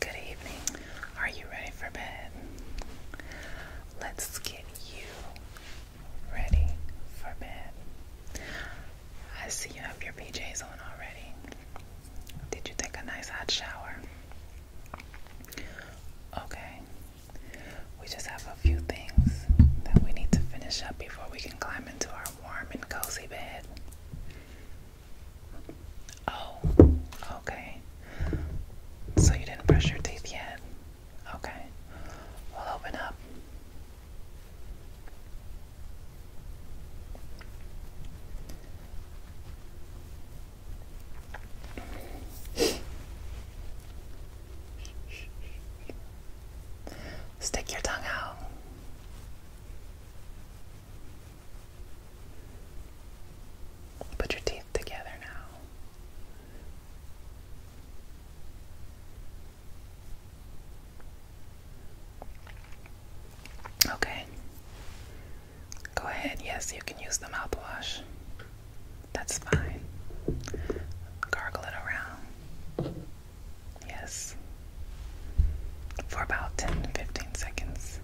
Good evening. Are you ready for bed? Let's get you ready for bed. I see you have your PJs on already. Did you take a nice hot shower? Okay, we just have a few things that we need to finish up before we can climb into our warm and cozy bed. Oh, okay. So you didn't brush your teeth yet? Okay. We'll open up. Stick your tongue out. Put your teeth together now. Okay. Go ahead. Yes, you can use the mouthwash. That's fine. Gargle it around. Yes. For about 10 seconds.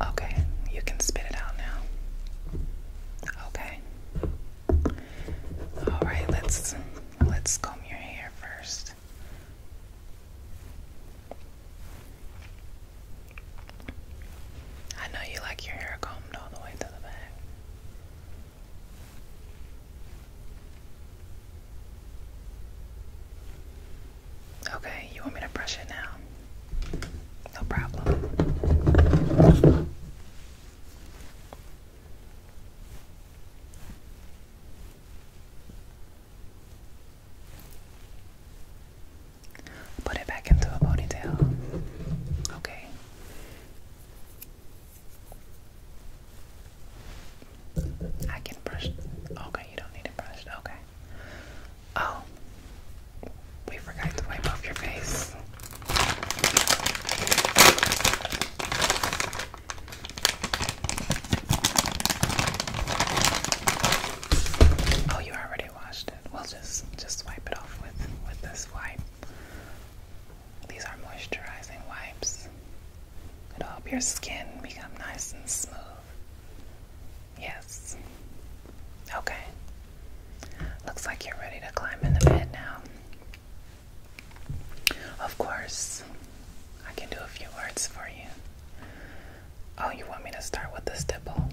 Okay, you can spit it out now. Okay. All right, let's let's comb your hair first. I know you like your hair combed all the way to the back. Okay, you want me to brush it now? No problem. Put it back into a ponytail. Okay. I can brush. Okay, you don't need it brushed. Okay. Oh, we forgot to wipe off your face. Oh, you already washed it. We'll just just wipe it off with with this wipe. These are moisturizing wipes. It'll help your skin become nice and smooth. Yes. Okay. Looks like you're ready to climb in the bed now. Of course, I can do a few words for you. Oh, you want me to start with the stipple?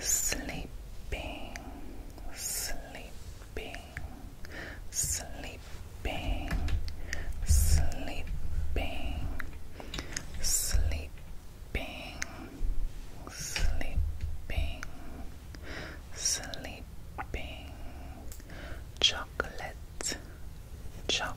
sleeping, sleeping, sleeping, sleeping, sleeping, sleeping. Sleeping, sleeping, chocolate, chocolate,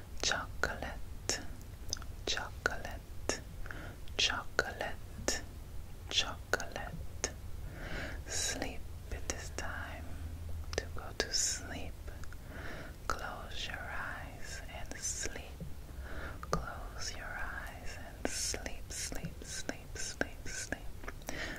chocolate, chocolate, chocolate, chocolate. Sleep, it is time to go to sleep. Close your eyes and sleep. Close your eyes and sleep, sleep, sleep, sleep, sleep.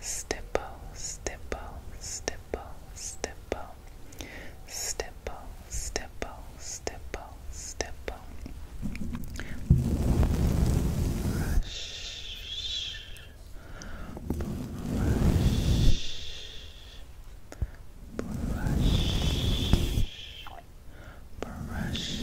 stipple, stipple, stipple, stipple, stipple, stipple, stipple, stipple, brush, brush, brush. Brush,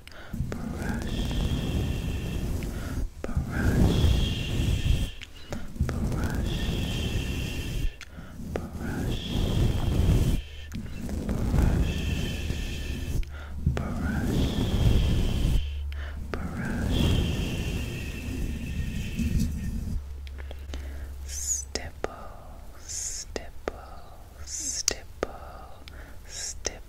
brush, brush, brush, brush. Brush, brush, brush. Stipple, stipple, stipple, stipple,